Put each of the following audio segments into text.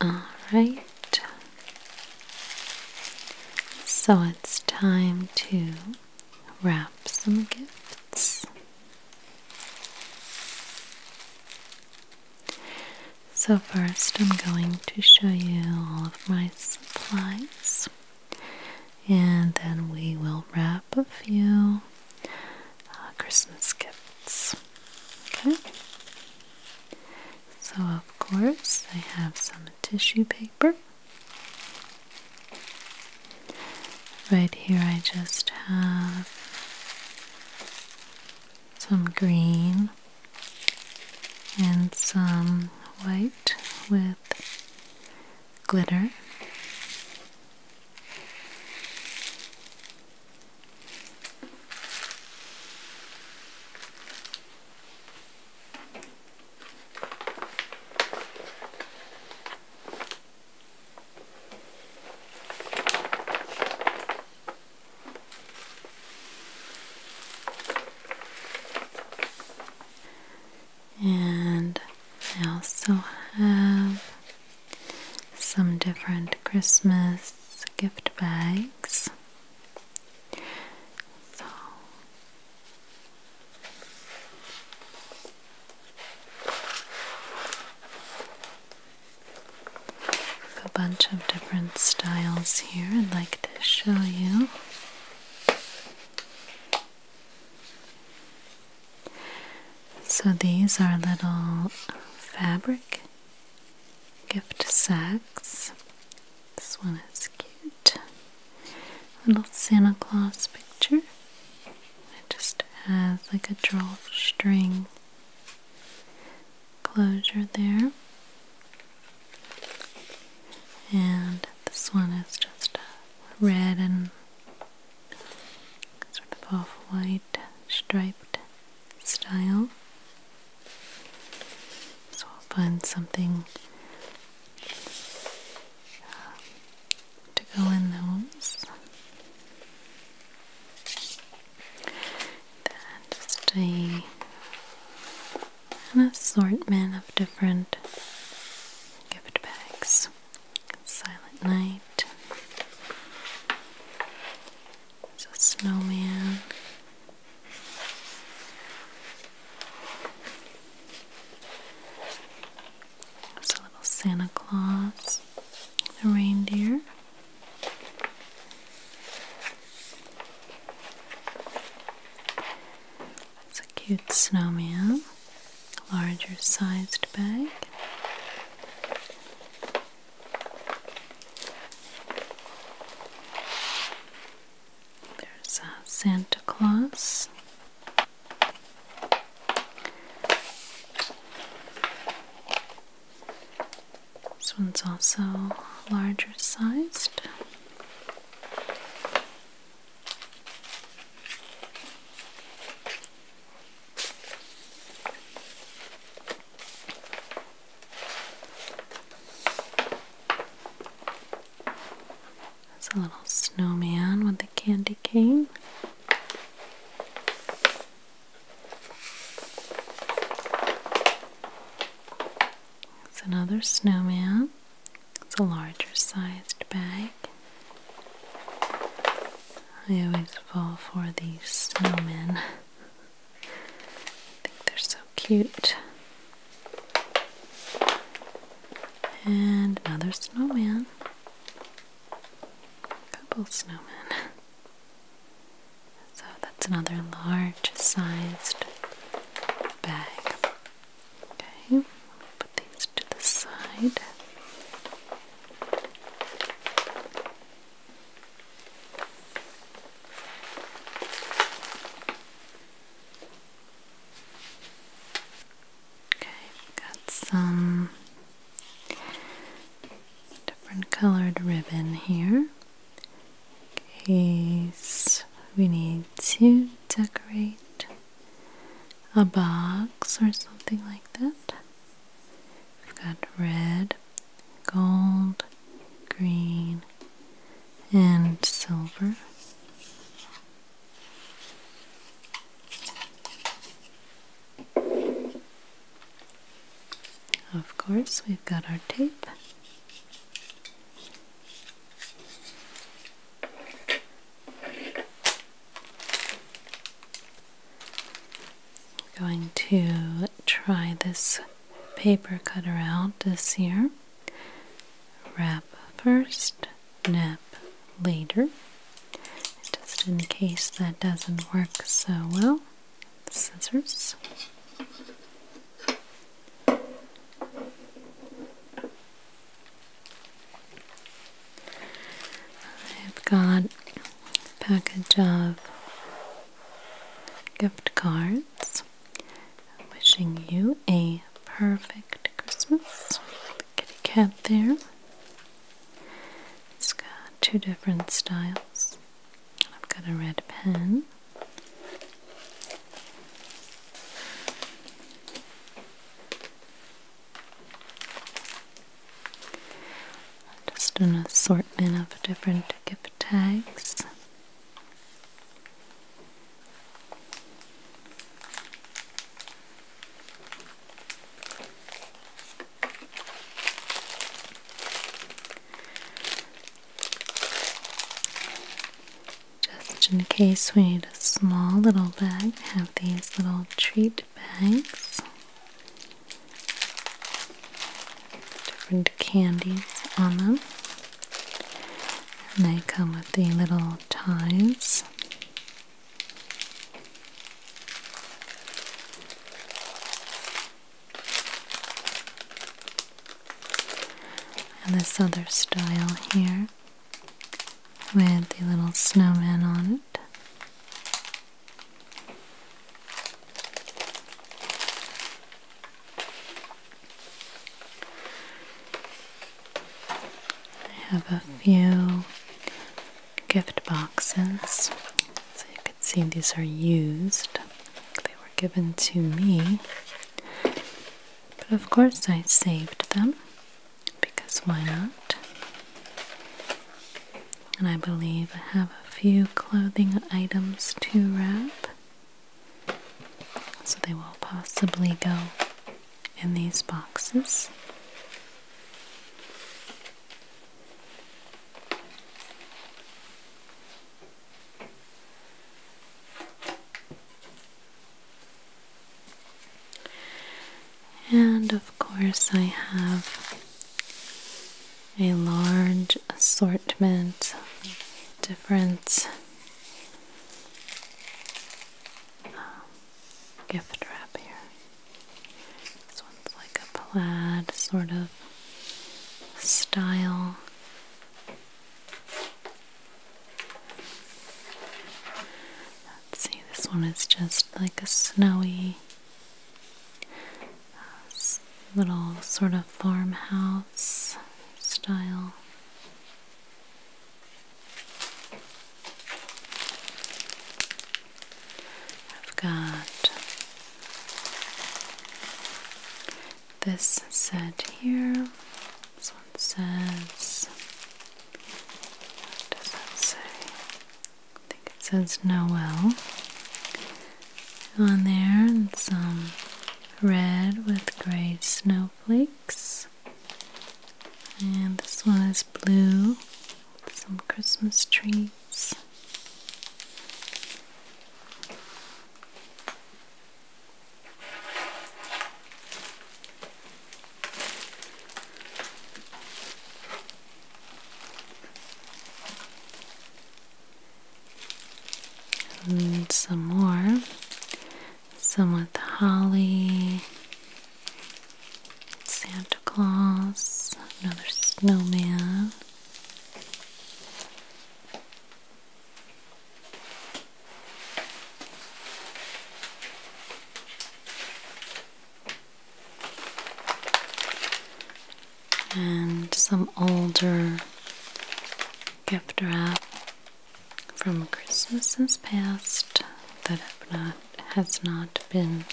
All right. So it's time to wrap some gifts. So, first, I'm going to show you all of my supplies, and then we will wrap a few uh, Christmas gifts. Okay. So, of course, I have some tissue paper. Right here, I just have some green and some white with glitter. And I also have some different Christmas gift bags. So a bunch of different styles here I'd like to show you. So these are little fabric gift sacks. This one is cute. Little Santa Claus picture. It just has like a drawstring closure there. And this one is just red and sort of off-white striped style. So I'll find something uh, to go in those. Then just a, an assortment of different gift bags. Silent Night. It's a snowman. It's a little Santa Claus. A reindeer. It's a cute snowman. Larger sized bag. There's uh, Santa Claus. This one's also larger sized. That's a little snowman with a candy cane. It's another snowman. It's a larger sized bag. I always fall for these snowmen. I think they're so cute. And another snowman. A couple snowmen. So that's another large sized bag. Okay, put these to the side. Okay, got some different colored ribbon here case we need to decorate a box or something like that. We've got red, gold, green, and silver. Of course, we've got our tape. I'm going to try this paper cutter out this year. Wrap first, nap later. Just in case that doesn't work so well, scissors. I've got a package of gift cards wishing you a perfect Christmas. The kitty cat there. It's got two different styles. I've got a red pen. Just an assortment of different gift tags. Just in case we need a small little bag, have these little treat bags different candies on them. And they come with the little ties. And this other style here with the little snowman on it. I have a few gift boxes. So you can see these are used. They were given to me. But of course I saved them because why not? And I believe I have a few clothing items to wrap. So they will possibly go in these boxes. And of course, I have a large assortment of different um, gift wrap here. This one's like a plaid sort of style. Let's see, this one is just like a snowy uh, little sort of farmhouse style. I've got this set here. This one says, what does that say? I think it says Noel on there, and some red with gray snowflakes. And this one is blue, with some Christmas trees. And some more. Some with holly, Santa Claus, another snowman and some older gift wrap from Christmases past that not, has not been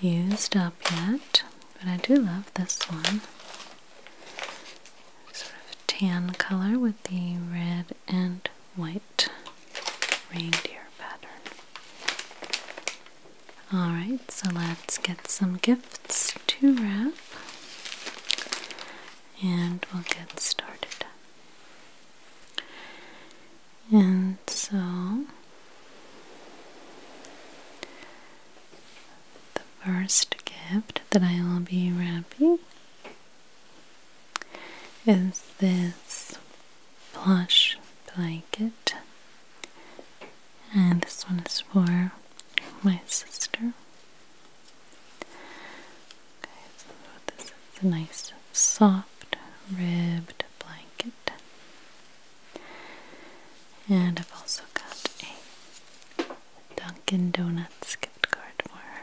used up yet, but I do love this one. Sort of tan color with the red and white reindeer pattern. Alright, so let's get some gifts to wrap and we'll get started. And so the first gift that I will be wrapping is this plush blanket. And this one is for my sister. Okay, so this is a nice soft ribbed blanket. And I've also got a Dunkin' Donuts gift card for her.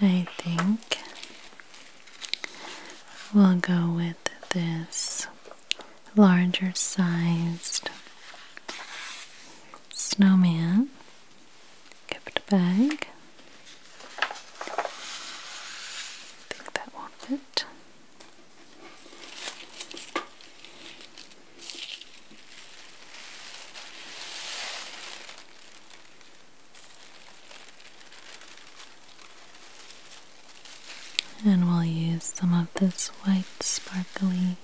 I think we'll go with this larger sized snowman gift bag. think that will fit. And we'll use some of this white sparkly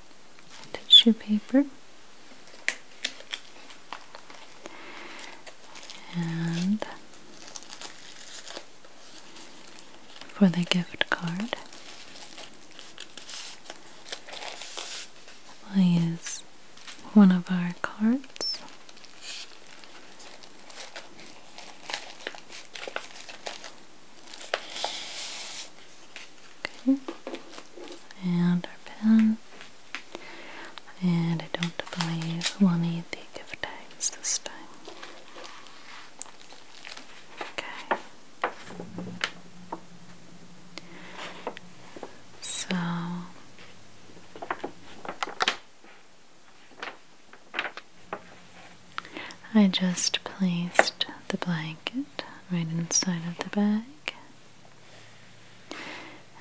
tissue paper. And for the gift card, we'll use one of our cards. Okay. And our pen. And I don't believe we'll need the gift tags this time. Okay. So I just placed the blanket right inside of the bag.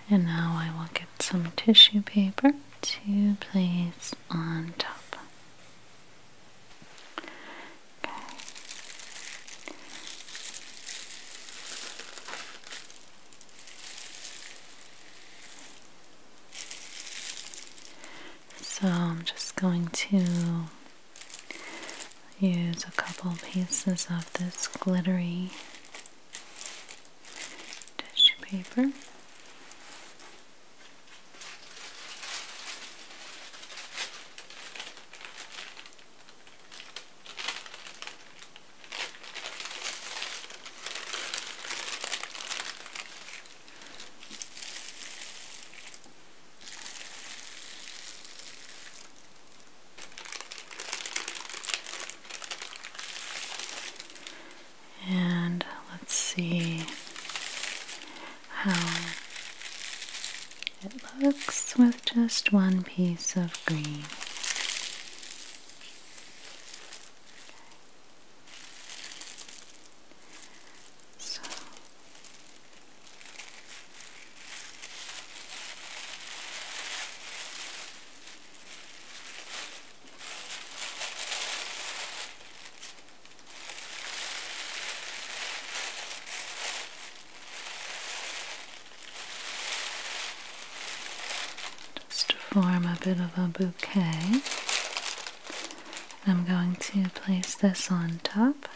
And now I will get some tissue paper to place on top. Okay. So I'm just going to use a couple pieces of this glittery tissue paper. And let's see how it looks with just one piece of green. So just to form a bit of a bouquet. I'm going to place this on top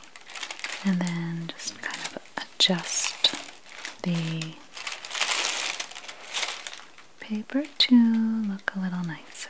and then just kind of adjust the paper to look a little nicer.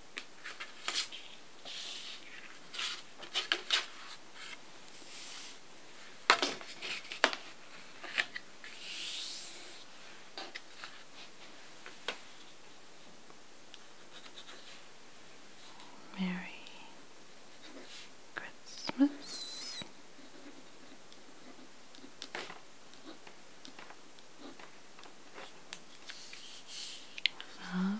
Merry Christmas. Love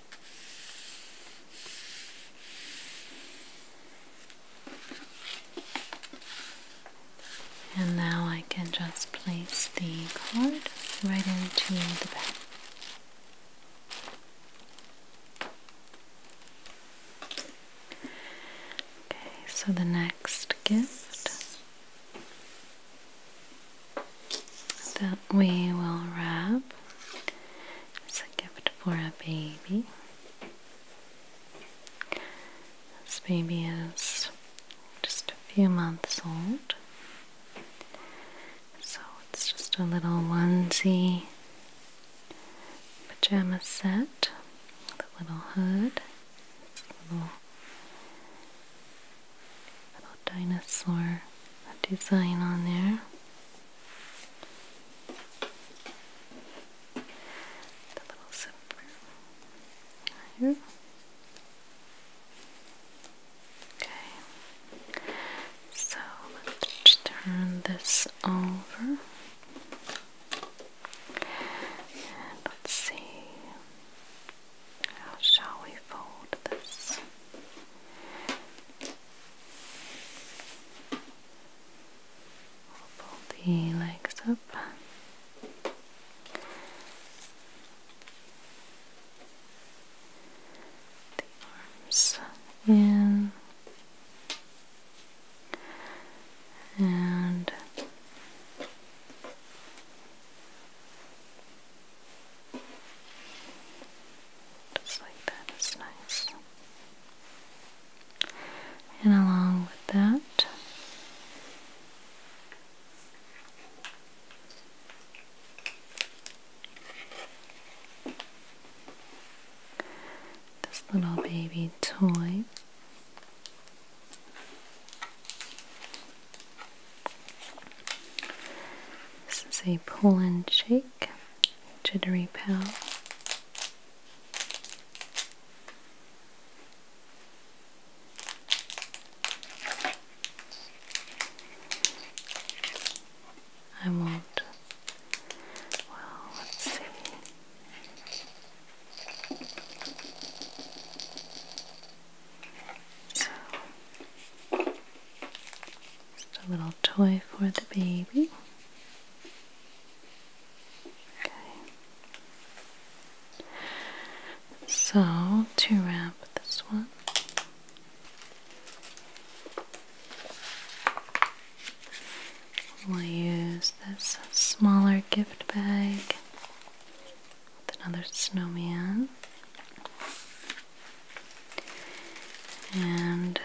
And now I can just place the card right into the bag. Okay, so the next gift that we will wrap as a gift for a baby. This baby is just a few months old. So it's just a little onesie pajama set with a little hood. little, little dinosaur design on there. The little silver here. Okay. So let's turn this over. And let's see. How shall we fold this? Pull the legs up. The arms in and just like that is nice. And along with that, this little baby toy. This is a pull and shake jittery pal. I won't. Well, let's see. So, just a little toy for the baby. Okay. So, to wrap this one, we'll use this smaller gift bag with another snowman and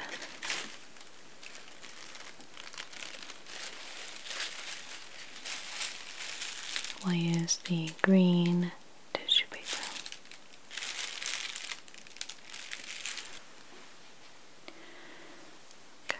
we'll use the green tissue paper. Okay.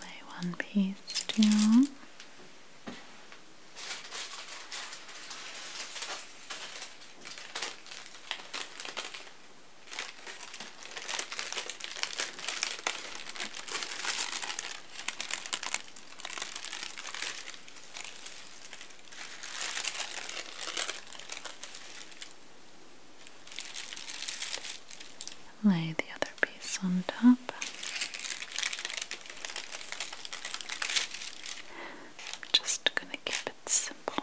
Lay one piece down. Lay the other piece on top. just going to keep it simple.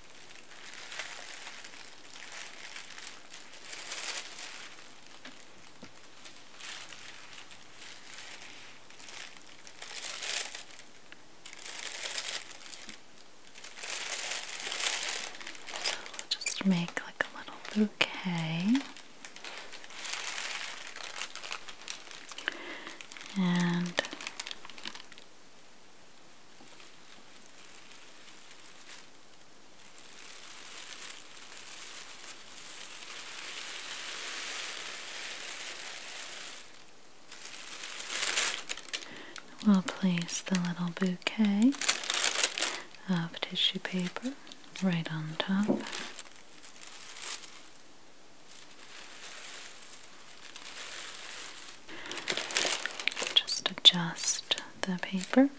So we'll just make like a little bouquet. And We'll place the little bouquet of tissue paper right on top. Just adjust the paper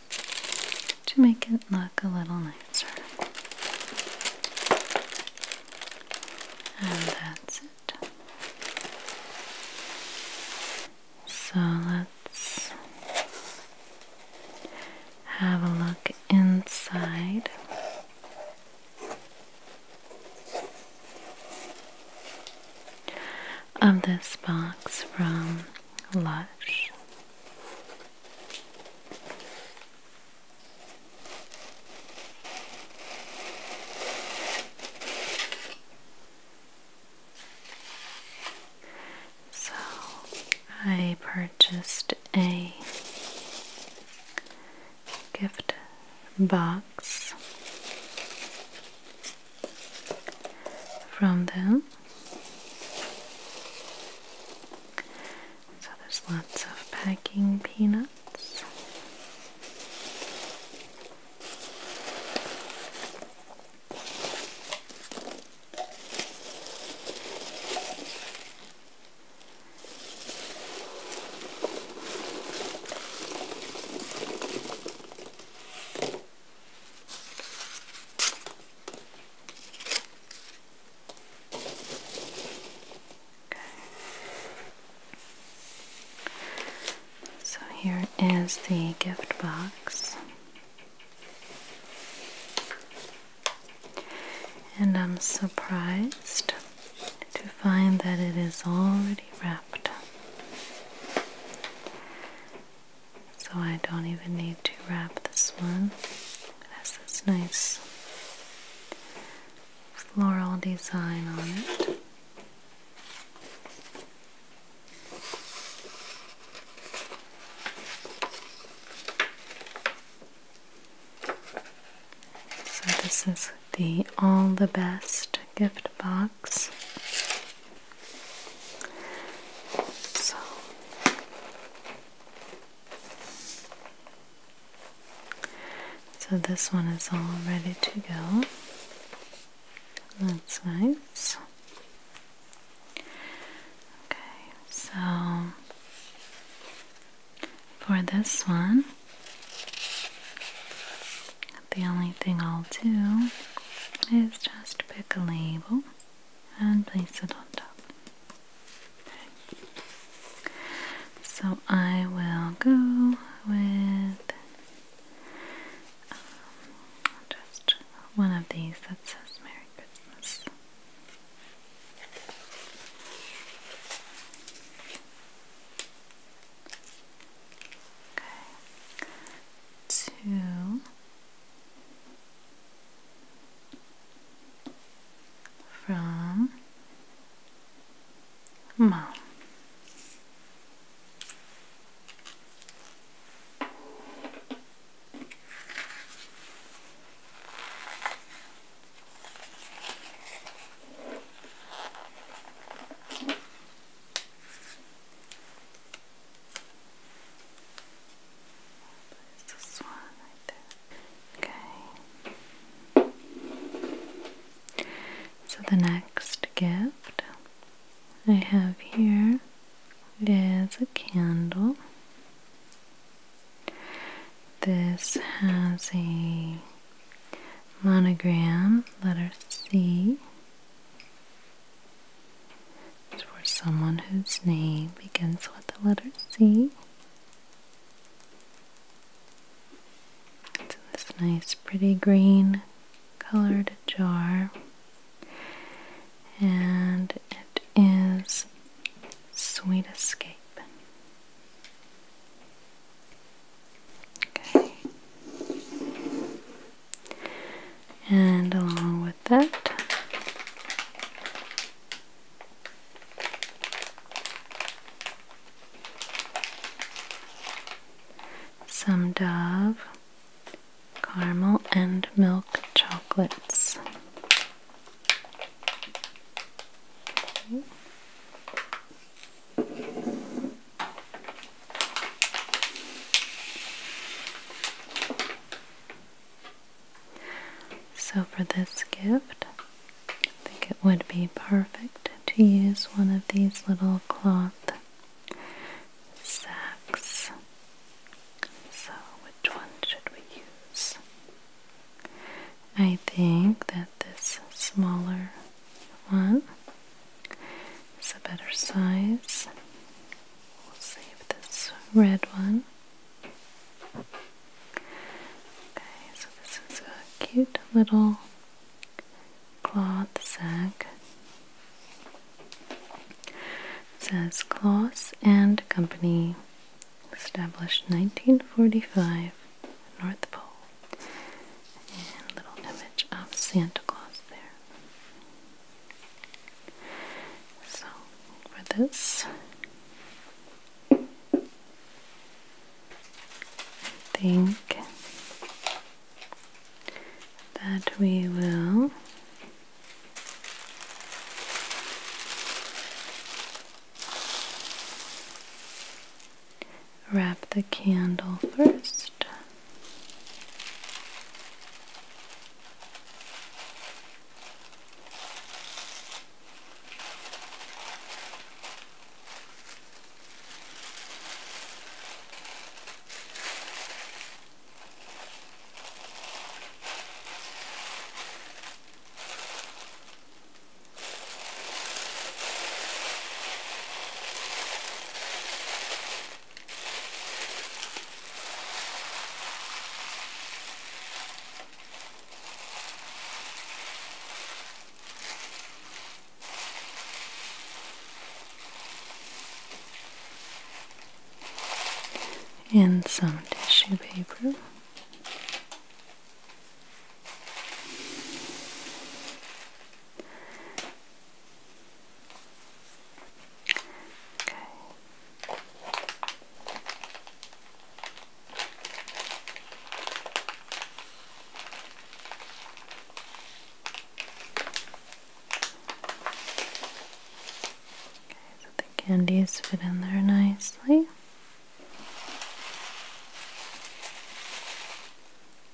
to make it look a little nicer. And that's it. So let's have a look inside of this box from Lush. So I purchased a gift box from them. So there's lots of packing peanuts. So here is the gift box. And I'm surprised to find that it is already wrapped. So I don't even need to wrap this one. It has this nice floral design on it. So this is the All the Best gift box. So so this one is all ready to go. That's nice. Okay, so for this one, the only thing I'll do is just pick a label and place it on top. So I will go with um, just one of these that says Merry Christmas. Two. From mom. There's this one right there. Okay. So the next gift I have here is a candle. This has a Monogram, letter C. is for someone whose name begins with the letter C. It's in this nice, pretty green colored jar. And it is Sweet Escape. Okay. And along with that, some Dove caramel and milk chocolates. Okay. So, for this gift, I think it would be perfect to use one of these little cloth sacks. So, which one should we use? I think that this smaller one. is a better size. We'll save this red one. Okay, so this is a cute little cloth sack. says Closs and Company, established 1945, North Pole. And little image of Santa Claus there. So for this, I think that we will wrap the candle first and some tissue paper. Okay. Okay, so the candies fit in there nicely.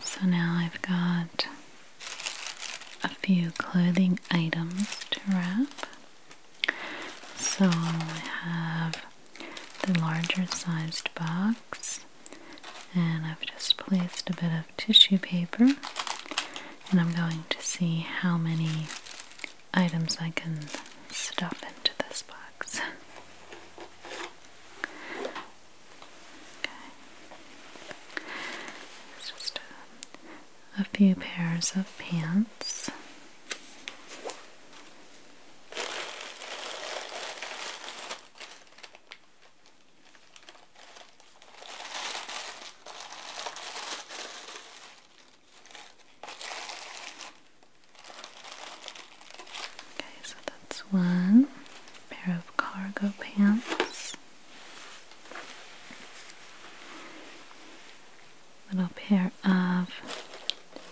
So now I've got a few clothing items to wrap. So I have the larger sized box, and I've just placed a bit of tissue paper, and I'm going to see how many items I can stuff into this box. It's just uh, a few pairs of pants. Okay, so that's one pair of cargo pants. Little pair of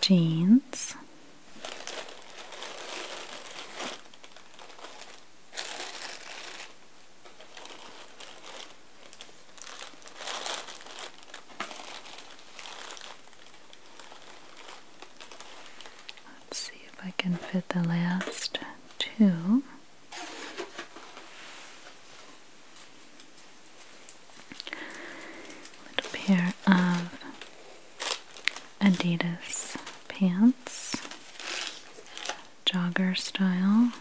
jeans. Let's see if I can fit the last two. Little pair of Adidas pants, jogger style.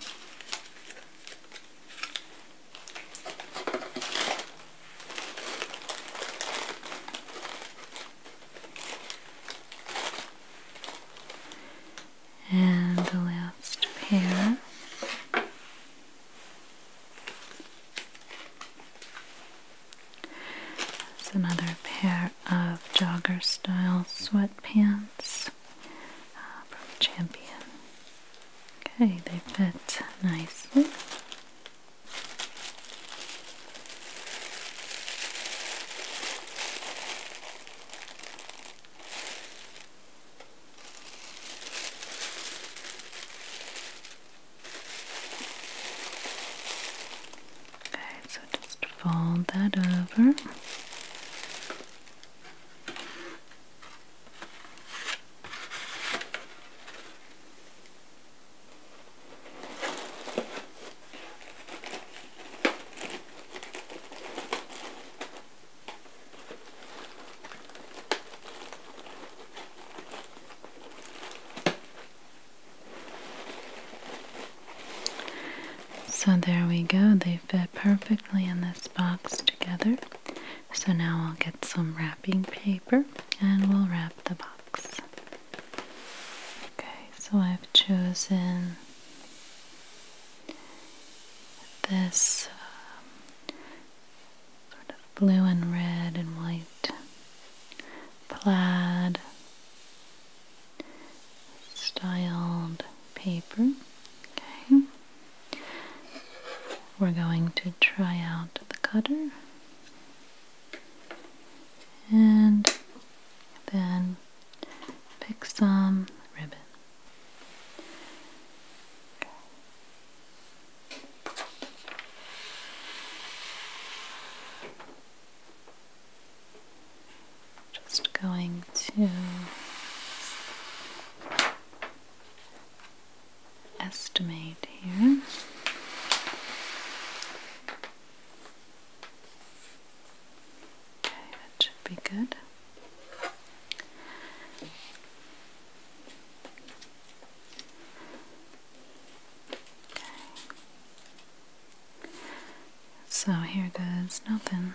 And the last pair. It's another pair of jogger style sweatpants uh, from Champion. Okay, they fit nicely. Okay, so just fold that over. So there we go, they fit perfectly in this box together. So now I'll get some wrapping paper and we'll wrap the box. Okay, so I've chosen this um, sort of blue and red and white plaid styled paper. Okay, we're going to try out the cutter and then pick some ribbon. Just going to estimate here. Okay, that should be good. Okay. So here goes nothing.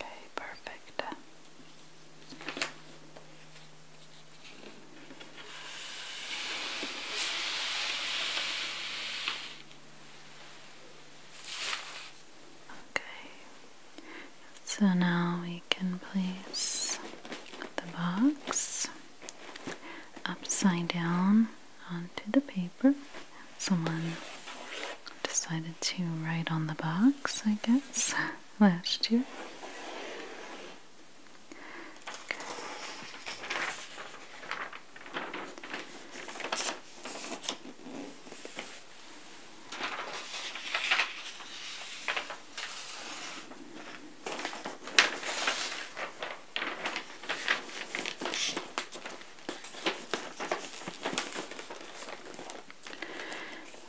Okay, perfect. Okay, so now we can place the box upside down onto the paper. Someone decided to write on the box, I guess, last year.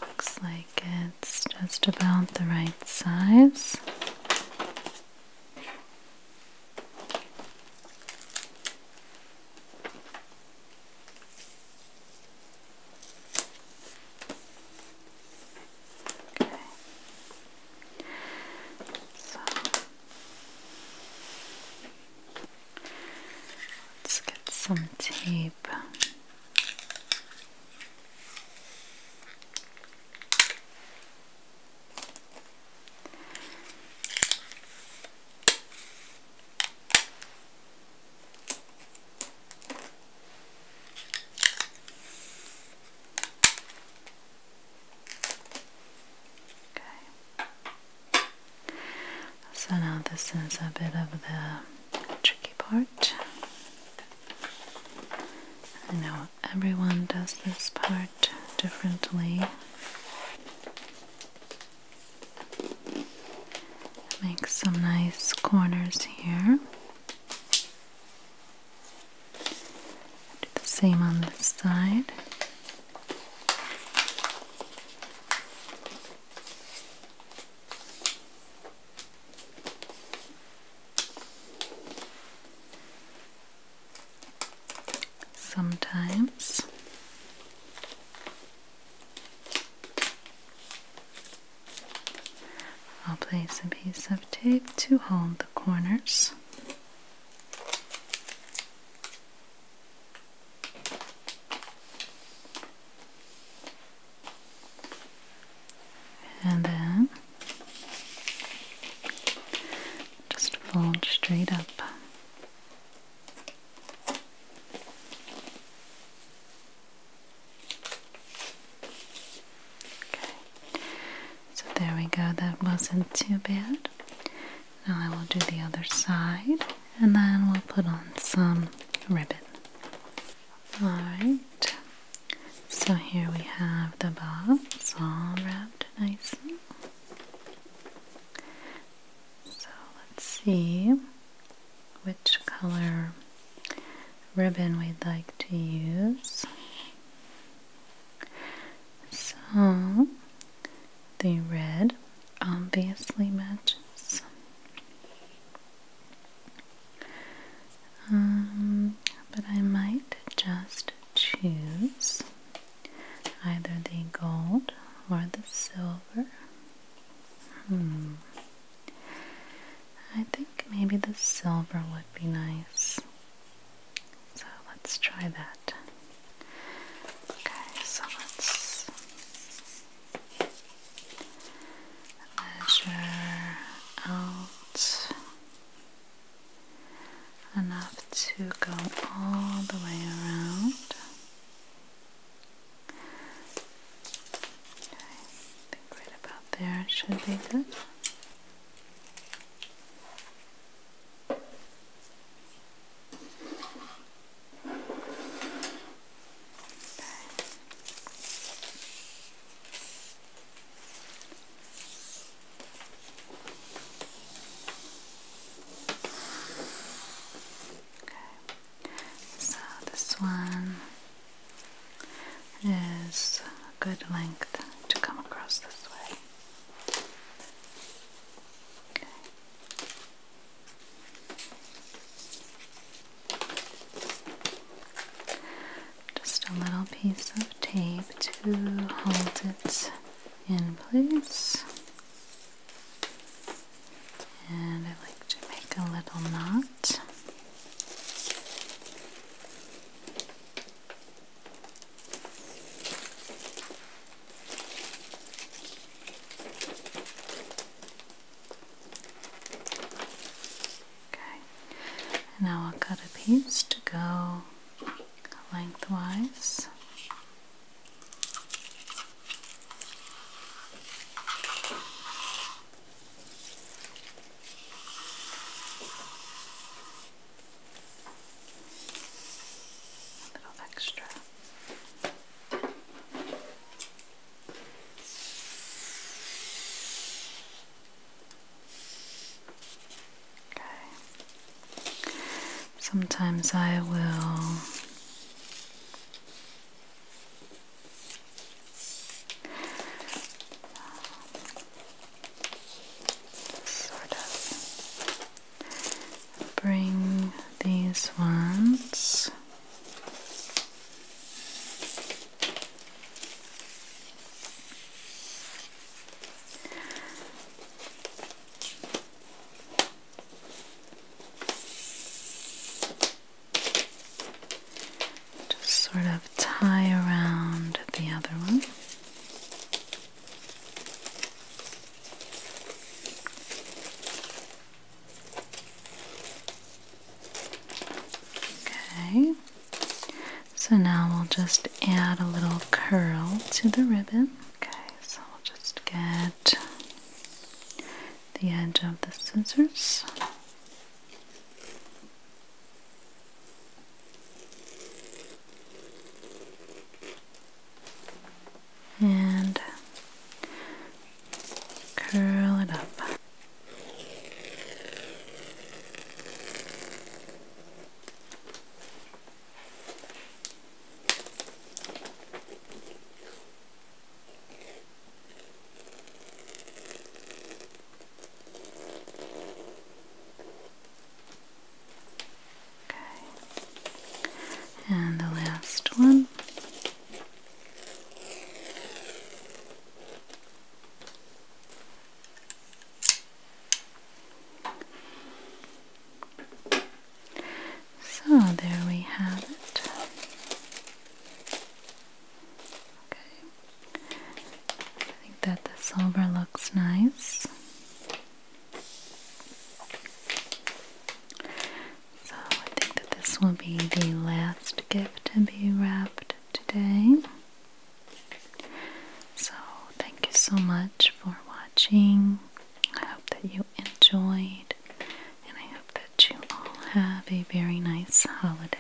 Looks like it's just about the right size. Okay. Let's get some tape. Okay. So now this is a bit of the tricky part. I know everyone does this part differently. Make some nice corners here. Do the same on this side. Sometimes I'll place a piece of tape to hold the corners and then just fold straight up. Okay, so there we go, that wasn't too bad. Now I will do the other side and then we'll put on some ribbon. Alright, so here we have the box all wrapped nicely. So let's see which color ribbon we'd like to use. So the red obviously matches. Um, but I might just choose either the gold or the silver. Hmm. I think maybe the silver would be nice. So let's try that. Okay, so let's measure out enough to go all the way around. Okay, I think right about there should be good so this one is a good length to come across this way. Okay. Just a little piece of tape to hold it in place. And I like to make a little knot. Okay, now I'll cut a piece to go lengthwise. A little extra. Okay. Sometimes I will sort of bring these ones just sort of tie around the other one. Okay, so now we'll just add a little curl to the ribbon. Okay, so we'll just get the edge of the scissors and curl it up. Okay. And the last one. So there we have it. Okay. I think that the silver looks nice. So I think that this will be the last gift to be wrapped today. So thank you so much for watching. I hope that you enjoyed and I hope that you all have a very nice holiday.